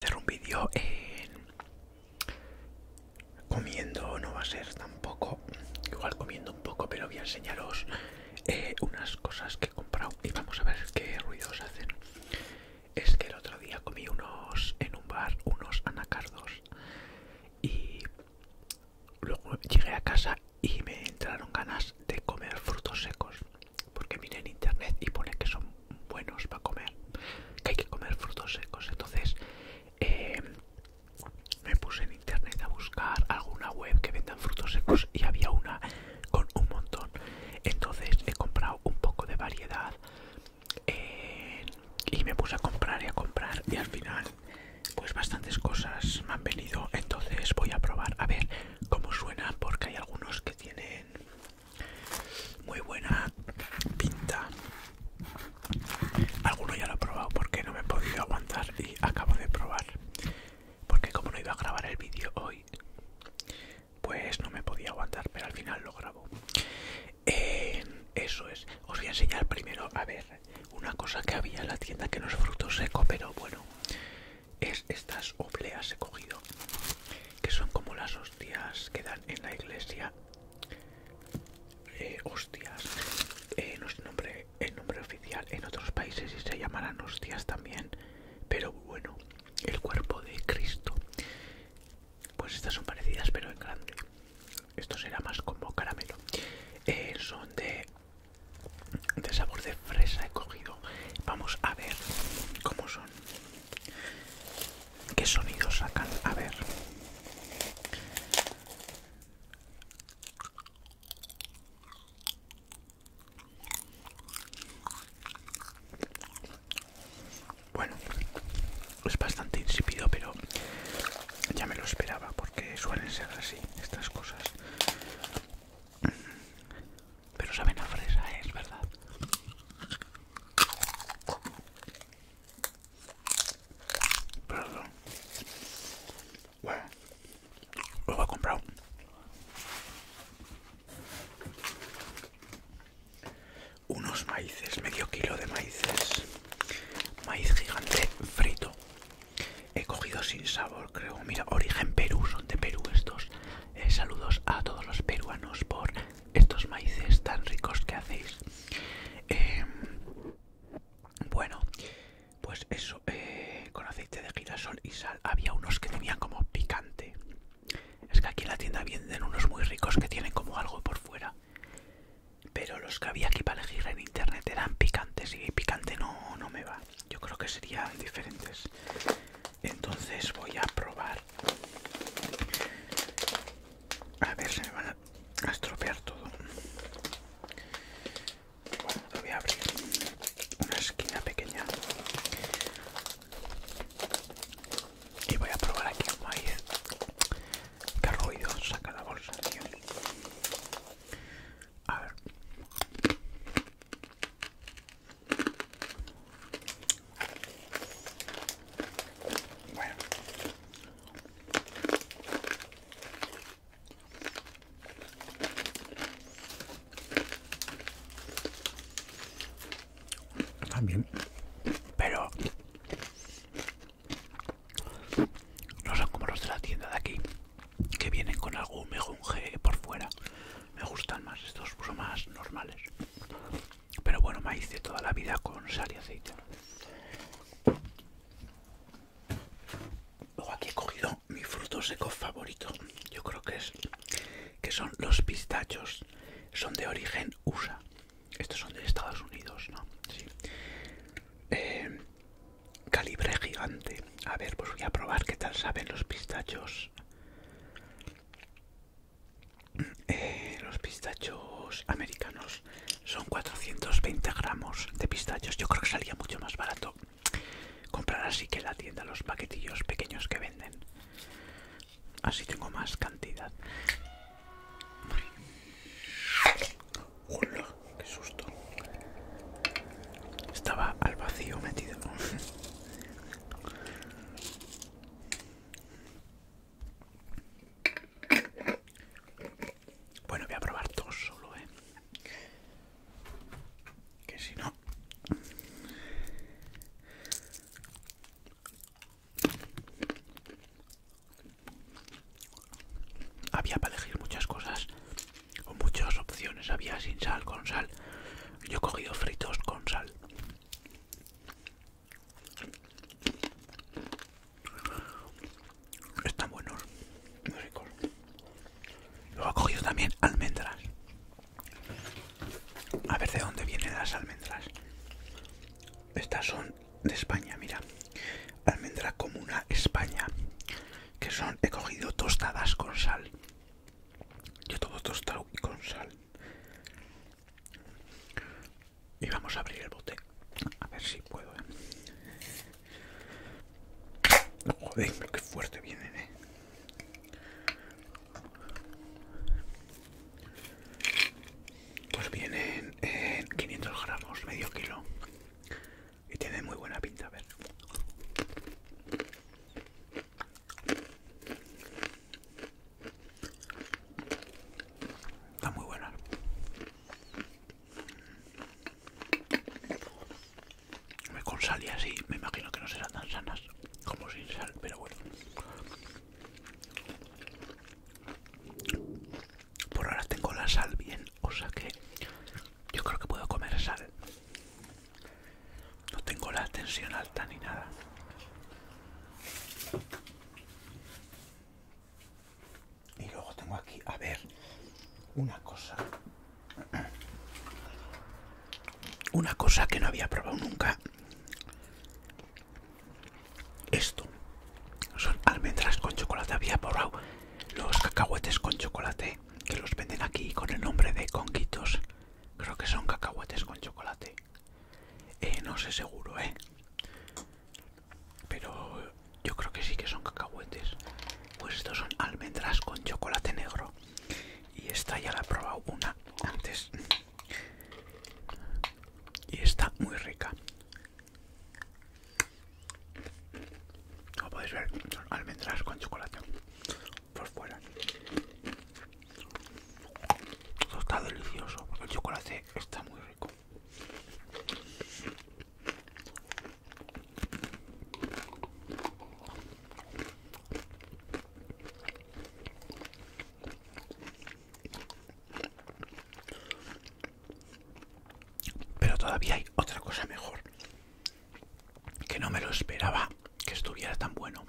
hacer un vídeo en... comiendo no va a ser tampoco igual comiendo un poco pero voy a enseñaros eh, unas cosas que he comprado y vamos a ver qué ruidos hacen es que el otro día comí unos en un bar unos anacardos y luego llegué a casa y me entraron ganas de comer frutos secos porque miré en internet y pone que son buenos para comer, que hay que comer frutos secos. Entonces eh, me puse en internet a buscar alguna web que vendan frutos secos y había una con un montón. Entonces he comprado un poco de variedad eh, y me puse a comprar y a comprar y al final pues bastantes cosas me han venido entonces voy a probar a ver cómo suena porque hay algunos que tienen muy buena pinta. Alguno ya lo he probado porque no me he podido aguantar y acabo de probar. Porque como no iba a grabar el vídeo hoy, pues no me podía aguantar, pero al final lo grabo. eso es. Os voy a enseñar primero, a ver, una cosa que había en la tienda que no es fruto seco, pero bueno, es estas obleas he cogido que son como las hostias que dan en la iglesia eh, hostias eh, no es nombre, el nombre oficial en otros países y se llamarán hostias también pero bueno el cuerpo de Cristo pues estas son parecidas pero en grande esto será más como caramelo eh, son de de sabor de fresa he cogido vamos a ver cómo son ¿Qué sonidos sacan? A ver. Bueno, es bastante insípido, pero ya me lo esperaba porque suelen ser así estas cosas. Pero saben a fresa, ¿eh? es verdad. Perdón. Bueno, lo voy a comprar. Unos maíces, medio kilo de maíces. Maíz gigante frito. He cogido sin sabor, creo. Mira, origen Perú, son de Perú estos. Eh, saludos a todos los peruanos por estos maíces tan ricos que hacéis. Em, bueno, pues eso, eh, con aceite de girasol y sal. Había unos que tenían como picante. Es que aquí en la tienda venden unos muy ricos que tienen como algo por fuera. Pero los que había aquí para elegir en internet eran picantes y picante no, no me va yo creo que serían diferentes entonces voy a probar a ver si me van a estropear todo bueno voy a abrir una esquina pequeña y voy a probar aquí como maíz que ruido saca la bolsa a ver también, pero no son como los de la tienda de aquí, que vienen con algún mejunje por fuera. Me gustan más, estos son más normales. Pero bueno, maíz de toda la vida con sal y aceite. Luego aquí he cogido mi fruto seco favorito. Yo creo que es que son los pistachos. Son de origen USA. Estos son de Estados Unidos, ¿no? Eh, calibre gigante. A ver, pues voy a probar qué tal saben los pistachos. Eh, los pistachos americanos son 420 gramos de pistachos. Yo creo que salía mucho más barato comprar así que en la tienda los paquetillos pequeños que venden. Así tengo más cantidad. Hola, qué susto. Estaba al vacío metido. Bueno, voy a probar todo solo, ¿eh? Que si no... Había para elegir muchas cosas con muchas opciones había sin sal, con sal. Yo he cogido fritos con sal. Están buenos, muy ricos. Luego he cogido también almendras. A ver de dónde vienen las almendras. Estas son de España, mira. Almendra comuna España que son, he cogido tostadas con sal. Yo todo tostado y con sal. Y vamos a abrir el bote. A ver si puedo. ¿eh? Joder, qué fuerte vienen, ¿eh? Pues vienen en 500 gramos, medio kilo. Y tiene muy buena pinta, a ver. Está muy buena. Me con sal y así, me imagino que no serán tan sanas como sin sal, pero bueno. Por ahora tengo la sal bien, o sea que yo creo que puedo comer sal. No tengo la tensión alta ni nada. Y luego tengo aquí, a ver, una cosa. Una cosa que no había probado nunca. Esto. Son almendras con chocolate. Había probado los cacahuetes con chocolate que los venden aquí con el nombre de conquitos. Creo que son cacahuetes con chocolate. Eh, no sé seguro, eh. Pero yo creo que sí que son cacahuetes. Pues estos son almendras con chocolate negro. Y esta ya la he probado una antes. Y está muy rica. Como podéis ver, almendras con chocolate por fuera. Esto está delicioso, porque el chocolate está muy rico. Pero todavía hay otra cosa mejor. Que no me lo esperaba que estuviera tan bueno.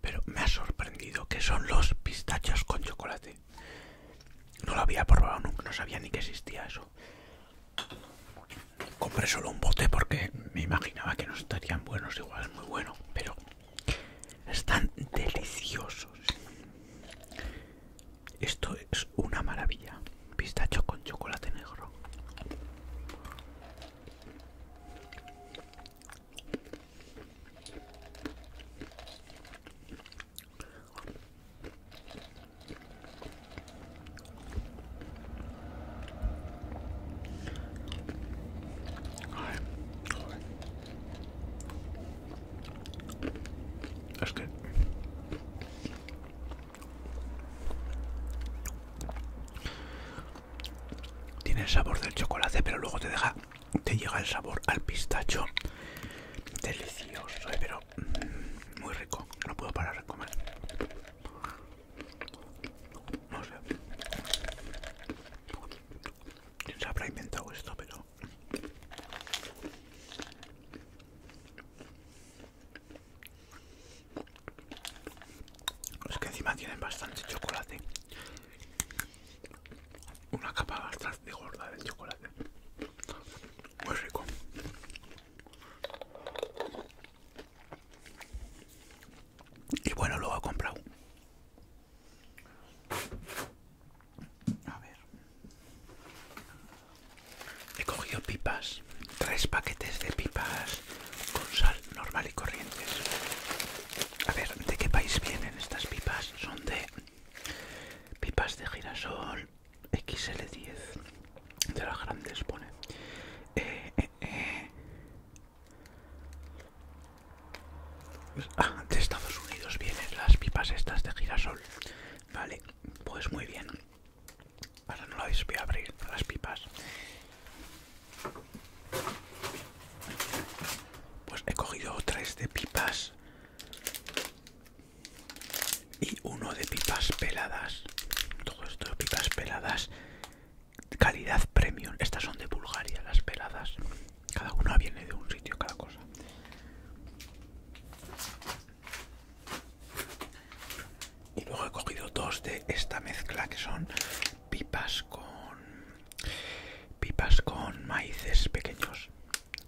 Pero me ha sorprendido que son los pistachos con chocolate. No lo había probado nunca, no sabía ni que existía eso. Compré solo un bote porque me imaginaba que no estarían buenos, igual muy bueno, pero están deliciosos. Esto es una maravilla. Pistacho con chocolate negro. Tiene el sabor del chocolate, pero luego te deja, te llega el sabor al pistacho. Delicioso, eh, pero mm, muy rico. No puedo parar de comer. No sé. ¿Quién se habrá inventado esto? Pero es que encima tienen bastante chocolate. Una capa bastante gorda de chocolate. Muy rico. Y bueno, lo he comprado a ver. He cogido pipas. Tres paquetes de pipas con sal normal y corrientes. A ver, ¿de qué país vienen estas pipas? Son de pipas de girasol XL10. De las grandes pone. Eh, eh, eh. Ah, de Estados Unidos vienen las pipas estas de girasol Vale, pues muy bien. Ahora no lo voy a abrir, las pipas. Pues he cogido tres de pipas y uno de pipas peladas. Todo esto de pipas peladas, calidad premium. Estas son de Bulgaria, las peladas. Cada una viene de un sitio, cada cosa. Y luego he cogido dos de esta mezcla que son pipas con pipas con maíces pequeños.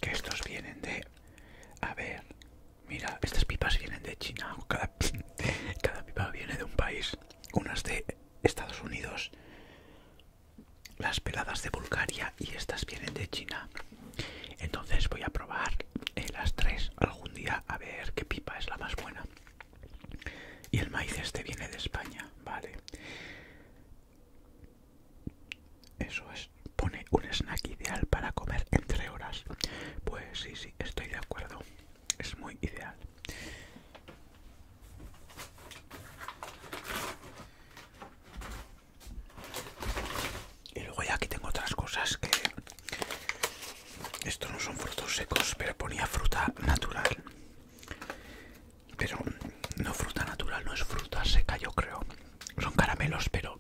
Que estos vienen de. A ver, mira, estas pipas vienen de China. Cada, cada pipa viene de un país. Unas de Estados Unidos, las peladas de Bulgaria y estas vienen de China. Entonces voy a probar eh, las tres algún día a ver qué pipa es la más buena. Y el maíz este viene de España, vale. Eso es, pone un snack ideal para comer entre horas. Pues sí, sí, estoy de acuerdo. Es muy ideal. Y luego ya aquí tengo otras cosas que... Estos no son frutos secos, pero ponía fruta natural. Pero no fruta natural, no es fruta seca yo creo. Son caramelos, pero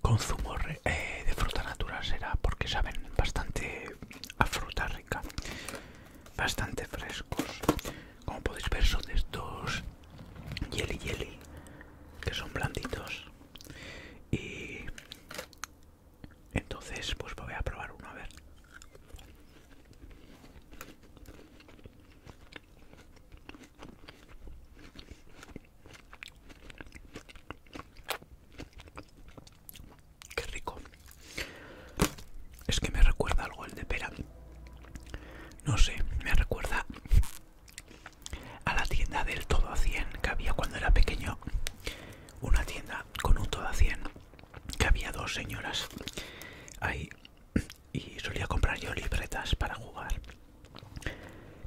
con zumo eh, de fruta natural será, porque saben bastante a fruta rica. Bastante frescos como podéis ver son de estos jelly jelly que son blanditos y entonces pues voy a probar uno a ver Qué rico. Es que me recuerda algo el de pera no sé, me recuerda a la tienda del todo a 100 que había cuando era pequeño. Una tienda con un todo a 100 que había dos señoras ahí y solía comprar yo libretas para jugar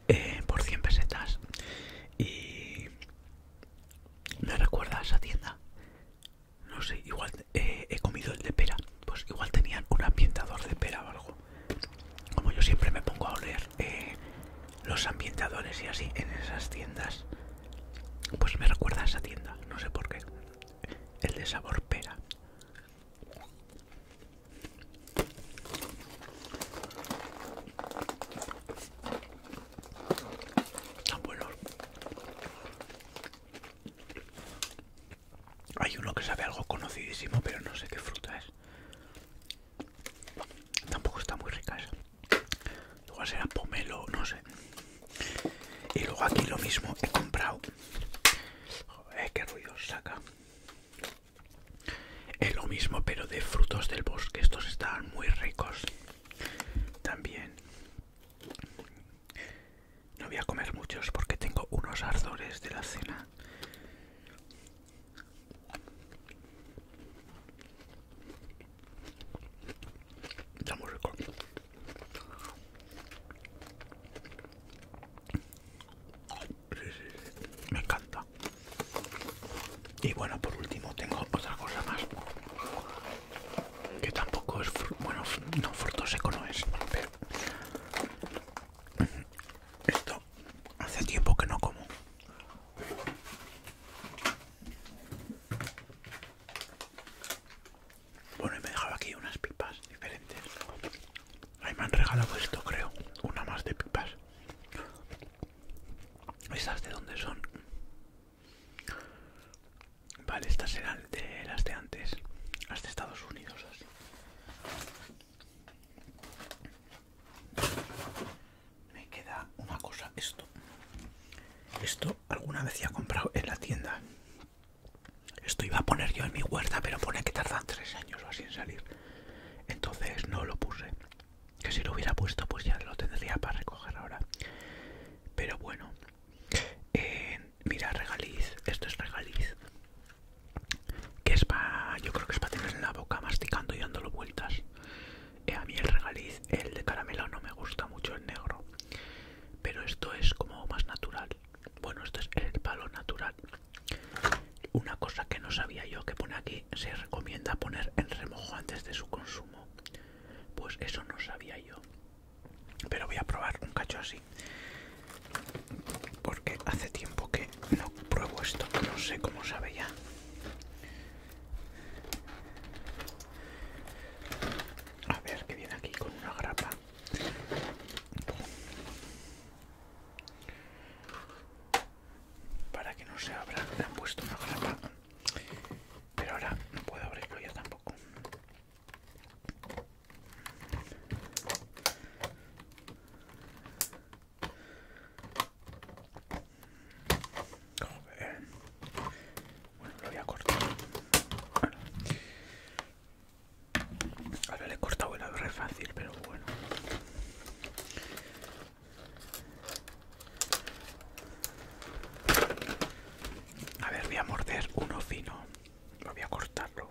eh, por 100 pesetas. Y me recuerda a esa tienda. No sé, igual eh, he comido el de pera. Pues igual tenían un ambientador de pera o algo. Como yo siempre me pongo a oler eh, los ambientadores y así en esas tiendas. Pues me recuerda a esa tienda, no sé por qué. El de sabor pera. Tan hay uno que sabe algo conocidísimo, pero no sé qué fruta es. Tampoco está muy rica esa. Igual será pomelo, no sé. Y luego aquí lo mismo, he comprado... Joder, qué ruido saca. Es lo mismo, pero de frutos del bosque. Estos están muy ricos. También no voy a comer muchos porque tengo unos ardores de la cena. Ya muy rico. Me encanta. Y bueno, por último tengo otra cosa más que tampoco es bueno no fruto seco no es pero esto hace tiempo que no como bueno y me dejaba aquí unas pipas diferentes ahí me han regalado esto creo una más de pipas esas de dónde son Vale, estas eran de las de antes, las de Estados Unidos. Me queda una cosa, esto. Esto alguna vez ya he comprado en la tienda. Esto iba a poner yo en mi huerta, pero pone que tardan tres años o así en salir. Entonces no lo puse. Que si lo hubiera puesto, pues ya lo tendría para recoger ahora. Pero bueno, mira, regaliz, esto es regaliz. Que es para, yo creo que es para tener en la boca masticando y dándolo vueltas. Eh, a mí el regaliz, el de caramelo no me gusta mucho, el negro. Pero esto es como más natural. Bueno, esto es el palo natural. Una cosa que no sabía yo que pone aquí, se recomienda poner en remojo antes de su consumo. Pues eso no sabía yo. Pero voy a probar un cacho así. Porque hace tiempo que no pruebo esto. No sé cómo sabe ya. A ver que viene aquí con una grapa. Para que no se abra, le han puesto una grapa pero ahora no puedo abrirlo ya tampoco. Bueno, lo voy a cortar. Bueno. Ahora le he cortado el ver fácil, pero bueno. A ver, voy a morder uno fino. Voy a cortarlo.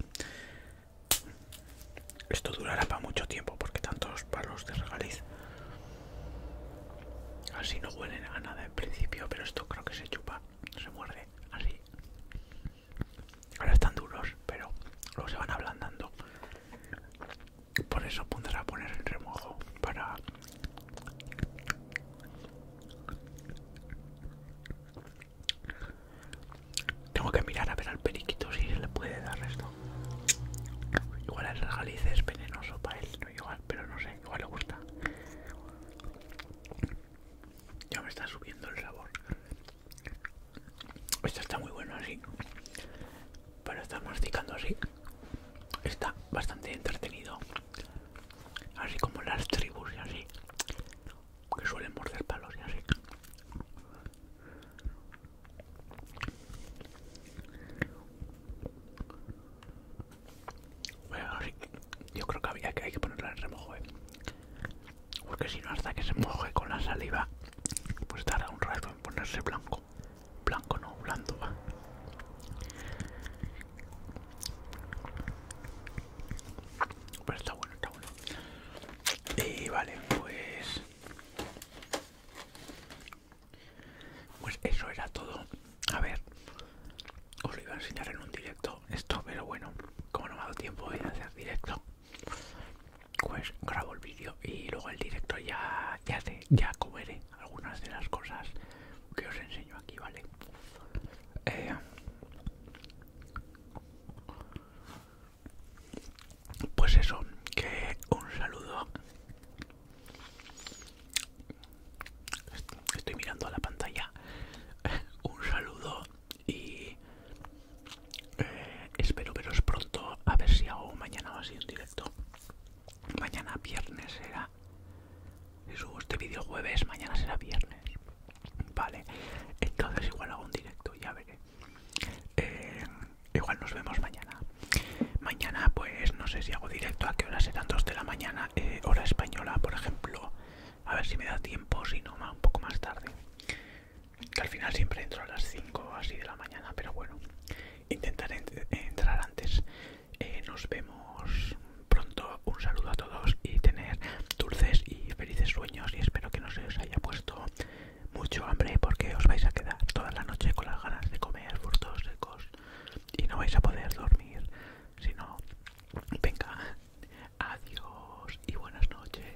Esto durará para mucho tiempo porque tantos palos de regaliz. Así no huelen a nada en principio, pero esto creo que se chupa, se muerde, así. Ahora están duros, pero luego se van ablandando. Por eso pondrá a poner el remojo para tengo que mirar a ver al periquito si le puede dar esto. Igual el regalice es venenoso para él, no pero no sé, igual le gusta. Ya me está subiendo el sabor. Esto está muy bueno así. Pero está masticando así está bastante entretenido. Así como las tribus y así. Que suelen morder palos y así. Yo creo que había que hay que ponerla en remojo, ¿eh? porque si no hasta que se moje con la saliva, pues tarda un rato en ponerse blanco. Blanco no, blando va. Pero está bueno, está bueno. Y vale, pues... Pues eso era todo. A ver, os lo iba a enseñar en un directo esto, pero bueno, como no me ha dado tiempo de hacer directo, pues grabo el vídeo y luego el directo ya, ya, ya comeré algunas de las cosas que os enseño aquí, ¿vale? Eh, pues eso, que un saludo. Estoy mirando a la pantalla. Un saludo y eh, espero veros pronto. A ver si hago mañana o así un directo. Mañana viernes será. Si subo este vídeo jueves, mañana será viernes. Vale, entonces igual hago un directo, ya veré. Eh, igual nos vemos mañana. Mañana, pues no sé si hago directo, a qué hora serán 2 de la mañana, eh, hora española, por ejemplo. A ver si me da tiempo, si no, un poco más tarde. Que al final siempre entro a las 5 así de la mañana, pero bueno. Intentar entrar antes. Eh, nos vemos pronto. Un saludo a todos y tener dulces y felices sueños. Y espero que no se os haya puesto mucho hambre porque os vais a quedar toda la noche con las ganas de comer frutos secos y no vais a poder dormir. Si no, venga, adiós y buenas noches.